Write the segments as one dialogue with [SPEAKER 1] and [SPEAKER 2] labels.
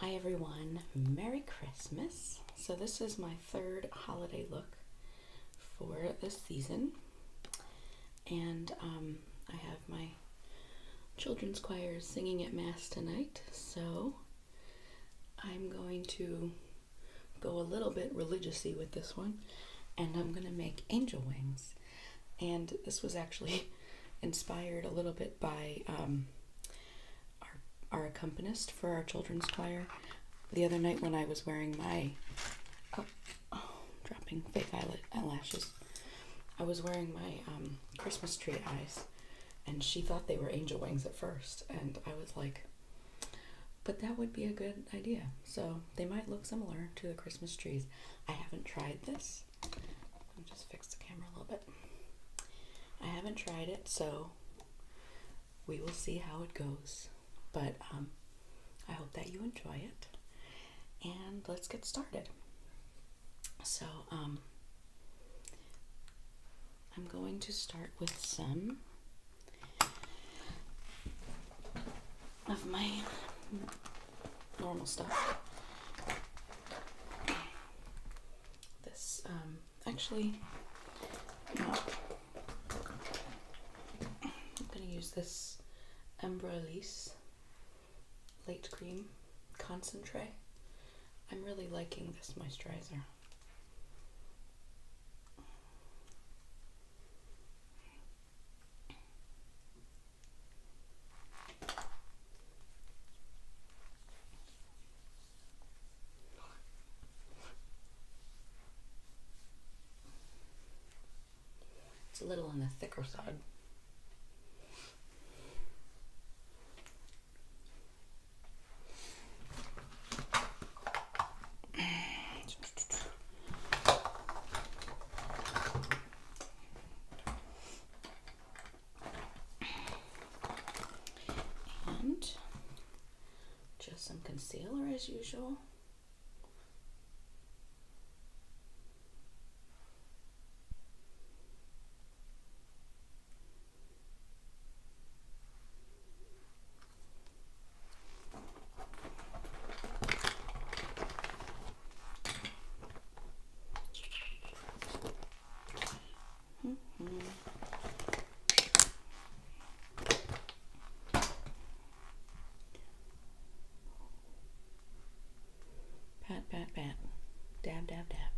[SPEAKER 1] Hi everyone, Merry Christmas. So, this is my third holiday look for this season, and um, I have my children's choir singing at Mass tonight, so I'm going to go a little bit religiously with this one, and I'm going to make angel wings. And this was actually inspired a little bit by um, our, our accompanist for our children's choir. The other night when I was wearing my, oh, dropping fake eyelashes, I was wearing my um, Christmas tree eyes and she thought they were angel wings at first. And I was like, but that would be a good idea. So they might look similar to the Christmas trees. I haven't tried this, I'll just fix the camera a little bit. I haven't tried it, so we will see how it goes. But um, I hope that you enjoy it. And let's get started. So, um, I'm going to start with some of my normal stuff. This, um, actually, I'm gonna use this Embra Light Cream Concentrate. I'm really liking this moisturizer. It's a little on the thicker side just some concealer as usual. Pat, pat, pat. Dab, dab, dab.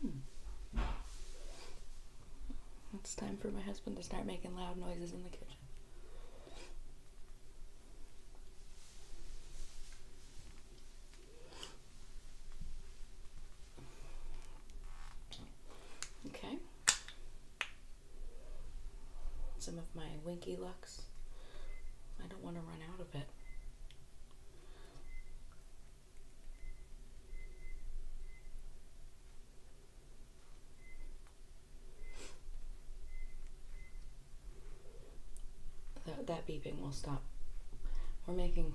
[SPEAKER 1] Hmm. It's time for my husband to start making loud noises in the kitchen. Okay. Some of my Winky Lux. I don't want to run out of it. That, beeping will stop. We're making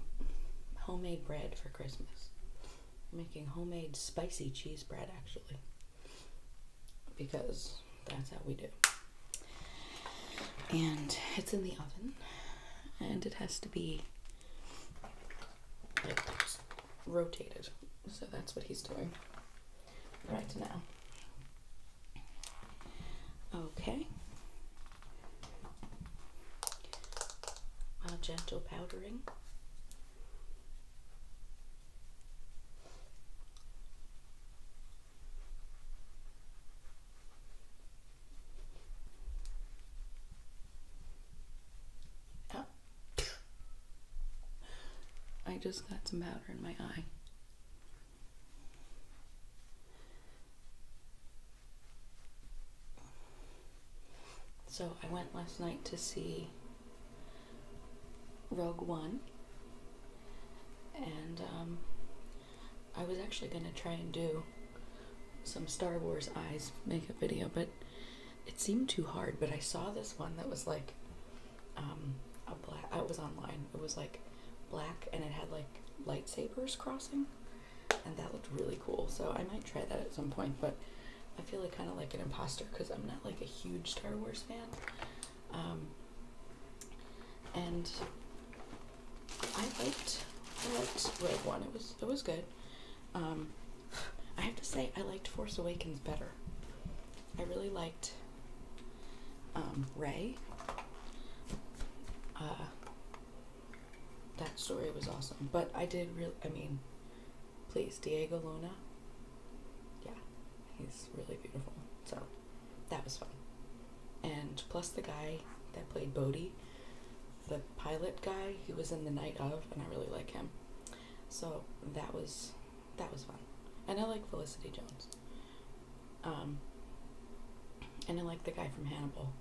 [SPEAKER 1] homemade bread for Christmas. making homemade spicy cheese bread, actually. Because that's how we do. And it's in the oven. And it has to be it rotated. So that's what he's doing right now. Okay. A gentle powdering. Oh. I just got some powder in my eye. So I went last night to see Rogue One, and um, I was actually going to try and do some Star Wars eyes makeup video, but it seemed too hard. But I saw this one that was like um, a black. Uh, I was online. It was like black, and it had like lightsabers crossing, and that looked really cool. So I might try that at some point. But I feel like kind of like an imposter because I'm not like a huge Star Wars fan. Um, and I liked that Rogue One. It was it was good. Um, I have to say, I liked Force Awakens better. I really liked um, Ray. Uh, that story was awesome, but I did really. I mean, please, Diego Luna. Yeah, he's really beautiful. So that was fun, and plus the guy that played Bodhi the pilot guy. He was in The Night of, and I really like him. So that was that was fun, and I like Felicity Jones. Um, and I like the guy from Hannibal.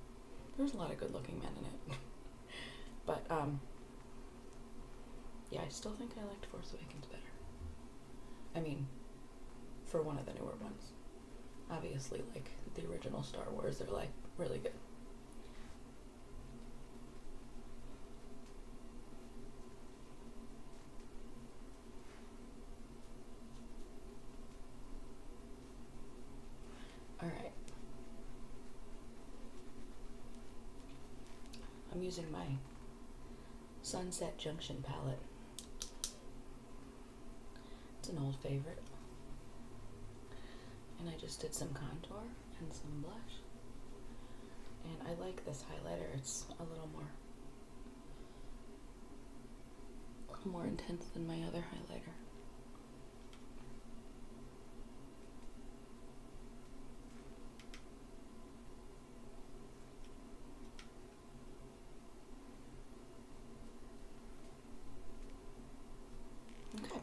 [SPEAKER 1] There's a lot of good-looking men in it, but um, yeah, I still think I liked Force Awakens better. I mean, for one of the newer ones, obviously, like the original Star Wars, they're like really good. All right. I'm using my Sunset Junction palette. It's an old favorite. And I just did some contour and some blush. And I like this highlighter. It's a little more more intense than my other highlighter. Okay.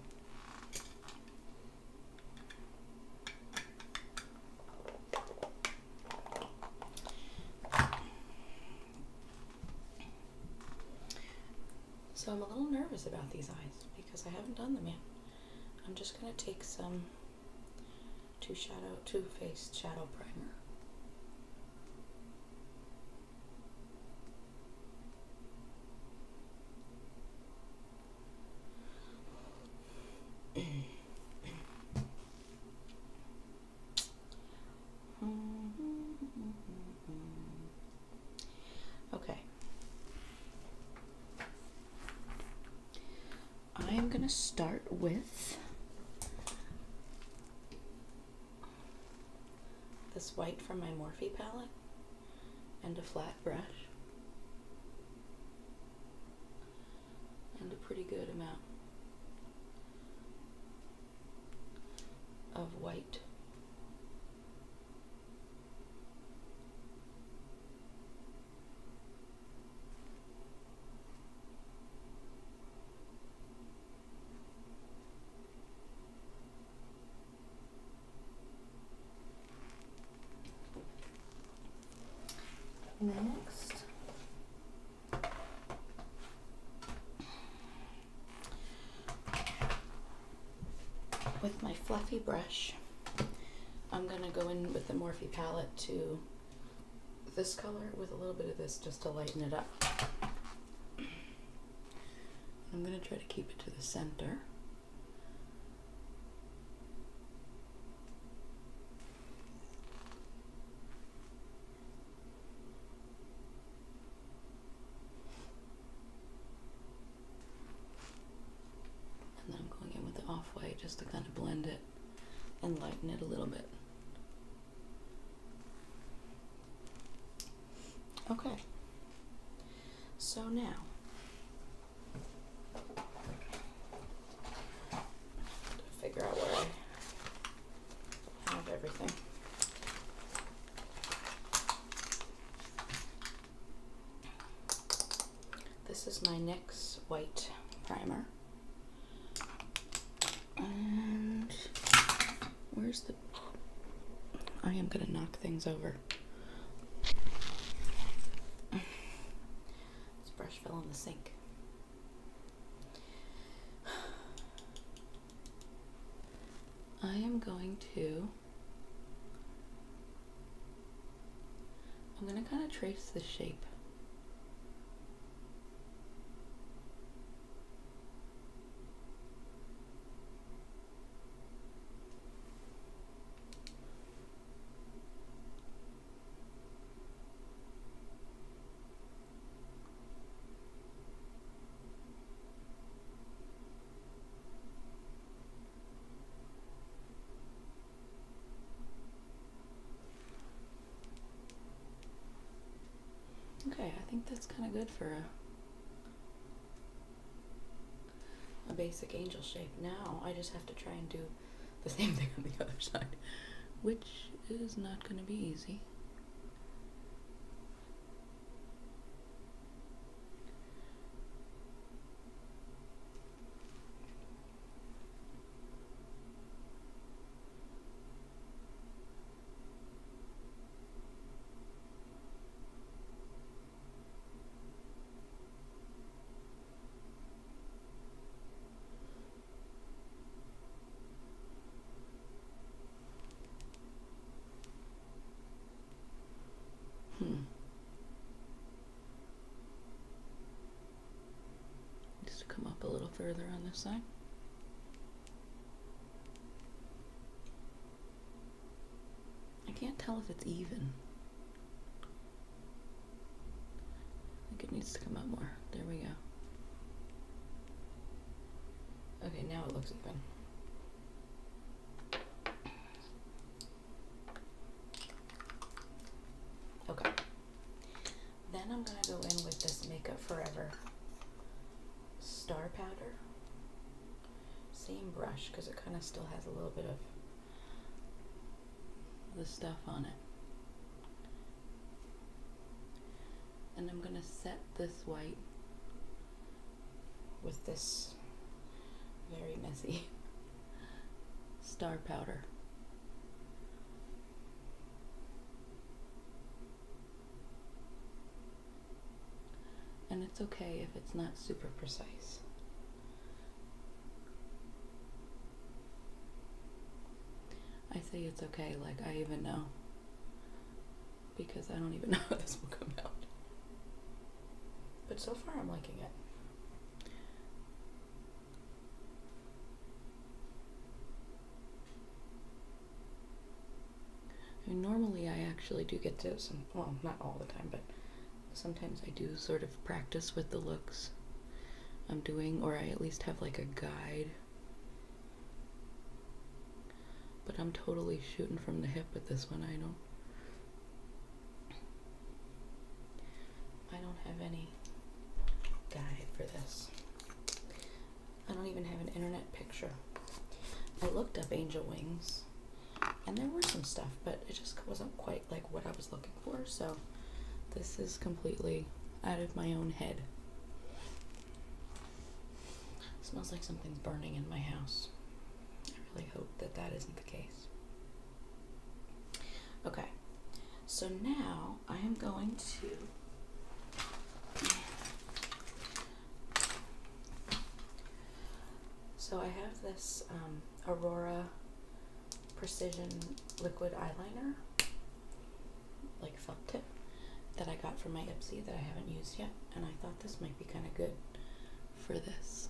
[SPEAKER 1] So I'm a little nervous about these eyes because I haven't done them yet. I'm just going to take some two shadow two Face shadow primer okay. I'm going to start with this white from my Morphe palette and a flat brush and a pretty good amount of white. Next. With my fluffy brush, I'm going to go in with the Morphe palette to this color with a little bit of this just to lighten it up. I'm going to try to keep it to the center. And then I'm going in with the off-white just to kind of blend it and lighten it a little bit. Okay. So now figure out where I have everything. This is my NYX white primer. And Where's the. I am gonna knock things over. This brush fell in the sink. I am going to. I'm gonna kind of trace the shape. Okay, I think that's kind of good for a a basic angel shape. Now I just have to try and do the same thing on the other side, which is not going to be easy. Hmm. Just come up a little further on this side. I can't tell if it's even. I think it needs to come up more. There we go. Okay, now it looks even. Okay. Then I'm going to go in with this Makeup Forever Star Powder same brush because it kind of still has a little bit of the stuff on it. And I'm going to set this white with this very messy star powder. And it's okay if it's not super precise. I say it's okay, like I even know. Because I don't even know how this will come out. But so far I'm liking it normally, I actually do get to some, well, not all the time, but sometimes I do sort of practice with the looks I'm doing, or I at least have like a guide. But I'm totally shooting from the hip with this one. I don't. I don't have any guide for this. I don't even have an internet picture. I looked up angel wings and there were some stuff, but it just wasn't quite like what I was looking for. So this is completely out of my own head. smells like something's burning in my house. I really hope that that isn't the case. Okay, so now I am going to so I have this um, Aurora Precision Liquid Eyeliner, like felt tip, that I got from my Ipsy that I haven't used yet, and I thought this might be kind of good for this.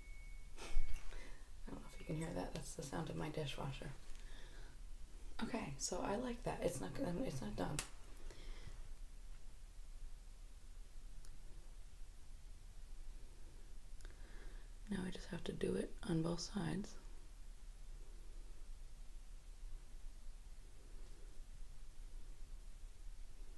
[SPEAKER 1] I don't know if you can hear that. That's the sound of my dishwasher. Okay, so I like that. It's not it's not done. Now I just have to do it on both sides.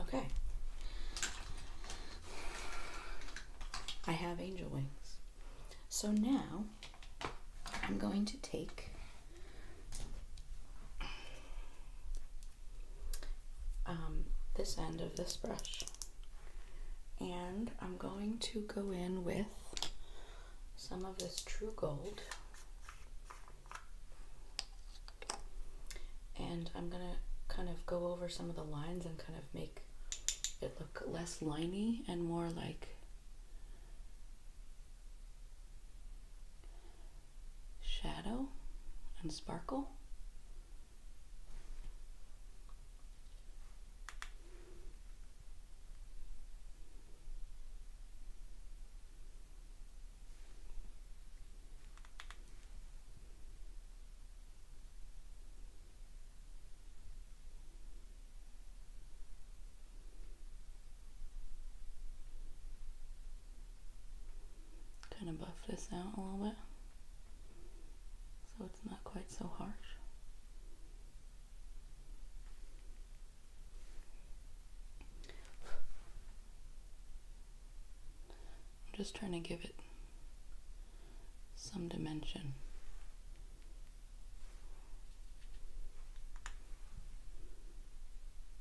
[SPEAKER 1] Okay. I have angel wings. So now I'm going to take um, this end of this brush. And I'm going to go in with some of this True Gold. And I'm going to kind of go over some of the lines and kind of make it look less liney and more like shadow and sparkle. Kind of buff this out a little bit so it's not quite so harsh. I'm just trying to give it some dimension.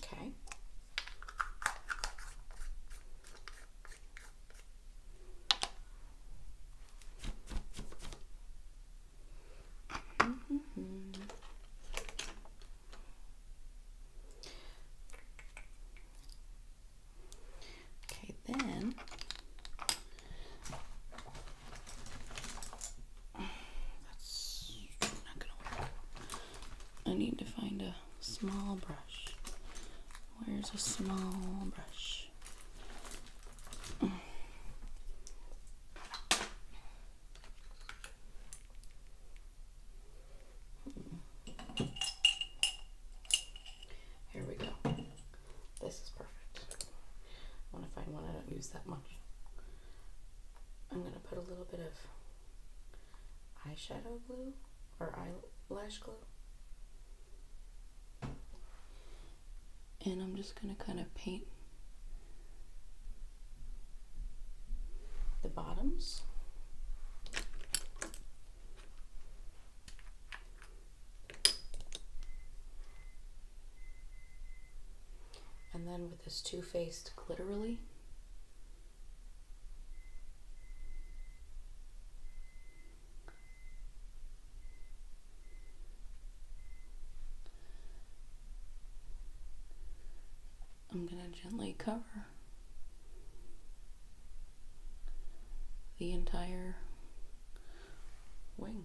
[SPEAKER 1] Okay. Mm-hmm. okay, then I need to find a small brush. Where's a small brush? Here we go. This is perfect. I want to find one I don't use that much. I'm going to put a little bit of eyeshadow glue or eyelash glue. And I'm just going to kind of paint the bottoms. And then this 2 Faced Glitterily. I'm going to gently cover the entire wing.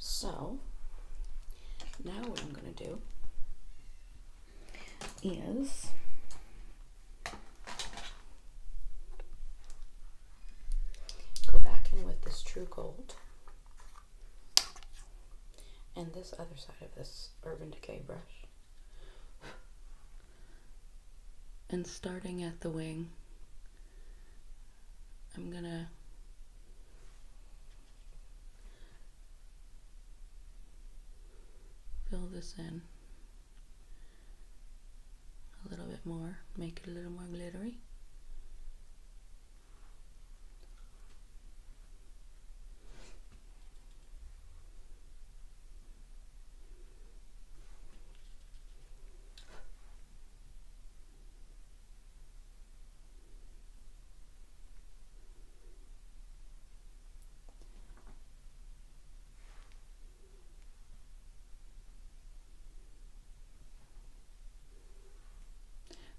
[SPEAKER 1] So now what I'm going to do is Go back in with this True Gold and this other side of this Urban Decay brush. And starting at the wing, I'm gonna fill this in a little bit more, make it a little more glittery.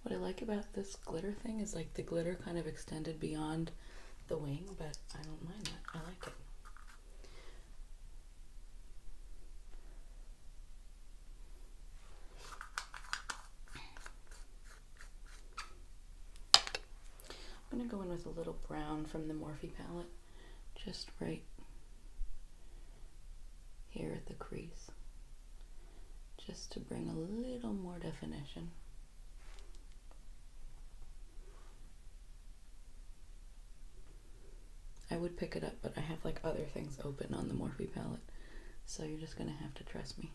[SPEAKER 1] What I like about this glitter thing is like the glitter kind of extended beyond the wing, but I don't mind that. I like it. I'm going to go in with a little brown from the Morphe palette just right here at the crease just to bring a little more definition. I would pick it up, but I have like other things open on the Morphe palette, so you're just gonna have to trust me.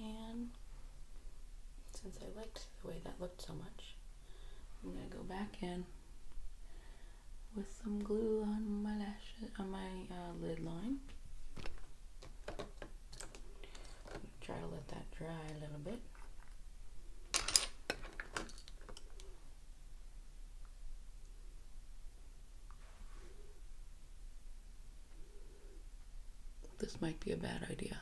[SPEAKER 1] And since I liked the way that looked so much, I'm gonna go back in with some glue on my lashes, on my uh, lid line. Try to let that dry a little bit. This might be a bad idea.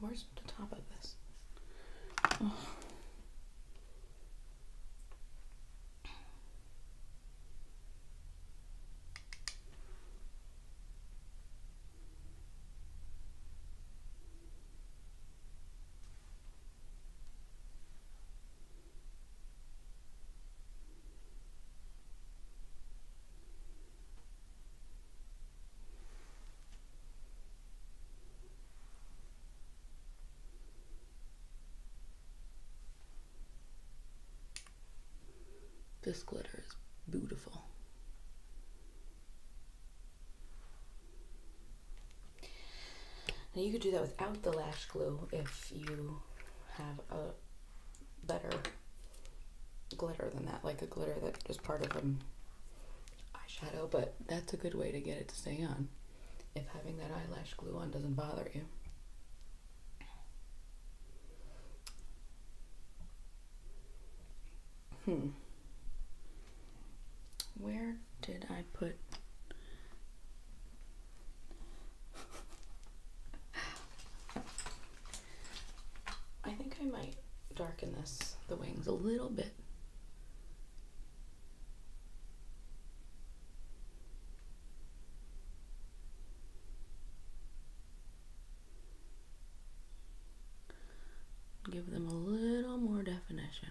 [SPEAKER 1] Where's the top of this? This glitter is beautiful. Now you could do that without the lash glue if you have a better glitter than that, like a glitter that just part of the eyeshadow, but that's a good way to get it to stay on if having that eyelash glue on doesn't bother you. Hmm. Where did I put? I think I might darken this, the wings, a little bit. Give them a little more definition.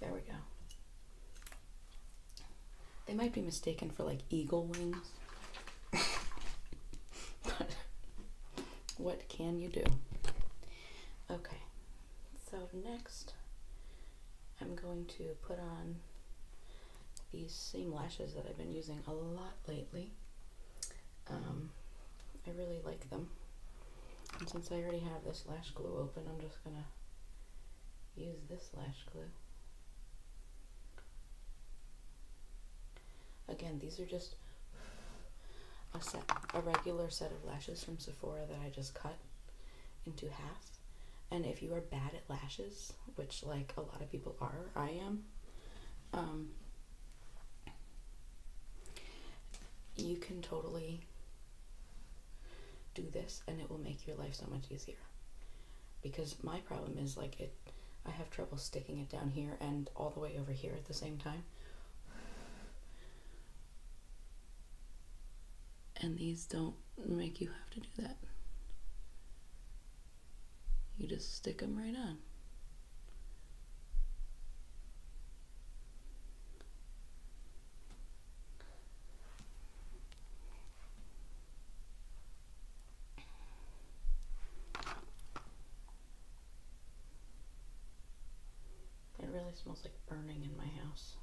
[SPEAKER 1] There we go. They might be mistaken for like eagle wings. what can you do? Okay. So next I'm going to put on these same lashes that I've been using a lot lately. Um, I really like them. And since I already have this lash glue open, I'm just going to use this lash glue. Again, these are just a set, a regular set of lashes from Sephora that I just cut into half and if you are bad at lashes, which like a lot of people are, I am, um, you can totally do this and it will make your life so much easier. Because my problem is like it, I have trouble sticking it down here and all the way over here at the same time and these don't make you have to do that. You just stick them right on. It really smells like burning in my house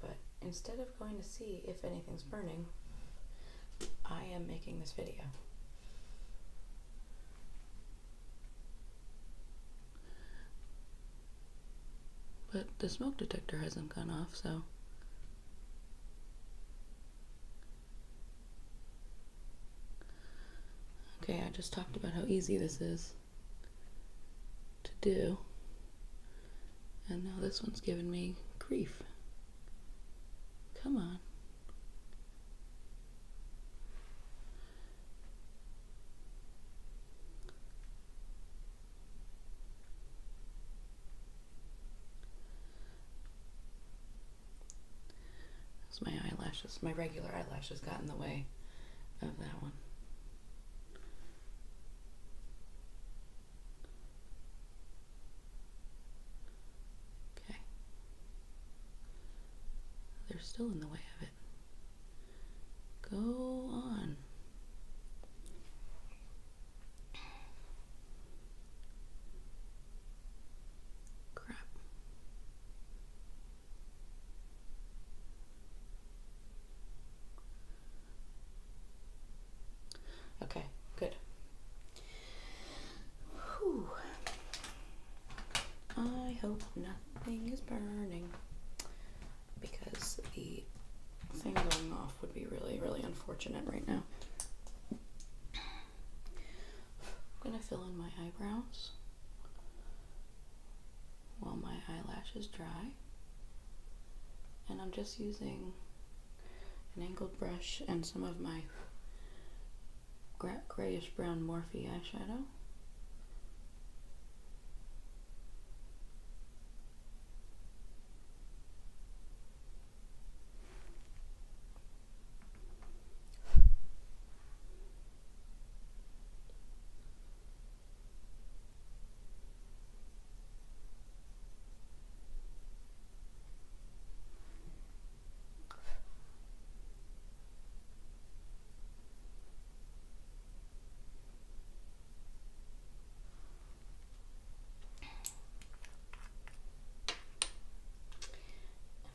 [SPEAKER 1] but instead of going to see if anything's burning, I am making this video. But the smoke detector hasn't gone off, so. Okay, I just talked about how easy this is to do. And now this one's giving me grief. Come on. Because my eyelashes, my regular eyelashes got in the way of that one. Okay. They're still in the way of it. Go on. Crap. Okay, good. Whew. I hope nothing is burning because the thing going off would be really, really unfortunate right now. I'm gonna fill in my eyebrows while my eyelashes dry. And I'm just using an angled brush and some of my grayish brown Morphe eyeshadow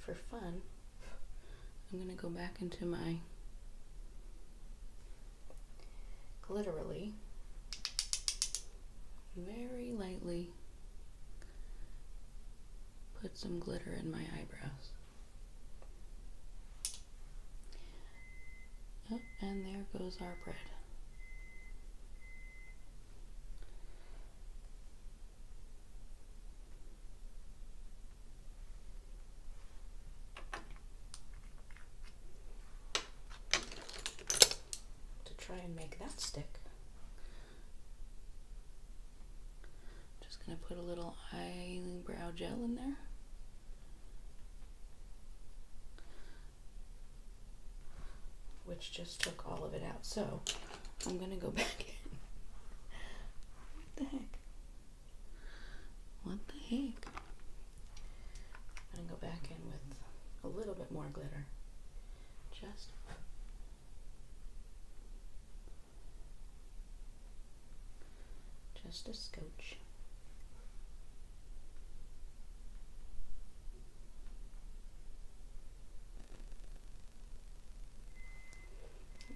[SPEAKER 1] for fun, I'm going to go back into my glitterily, very lightly put some glitter in my eyebrows. Oh, and there goes our bread to try and make that stick. Just going to put a little eyebrow gel in there. Which just took all of it out. So I'm going to go back in. what the heck? What the heck? I'm going to go back in with a little bit more glitter. Just. Just a scooch.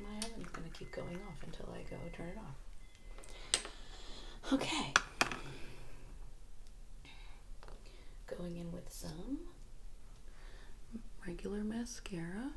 [SPEAKER 1] My oven's going to keep going off until I go turn it off. Okay. Going in with some regular mascara.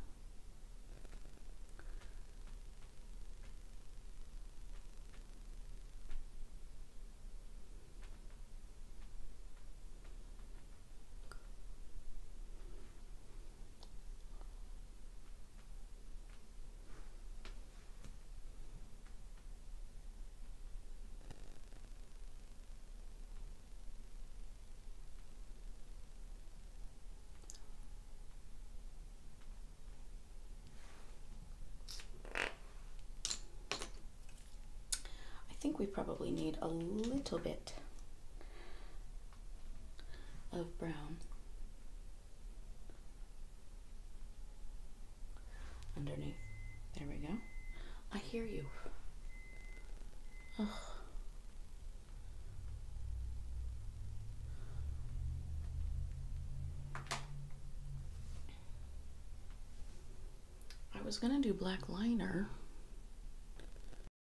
[SPEAKER 1] I think we probably need a little bit of brown underneath. There we go. I hear you. Ugh. I was going to do black liner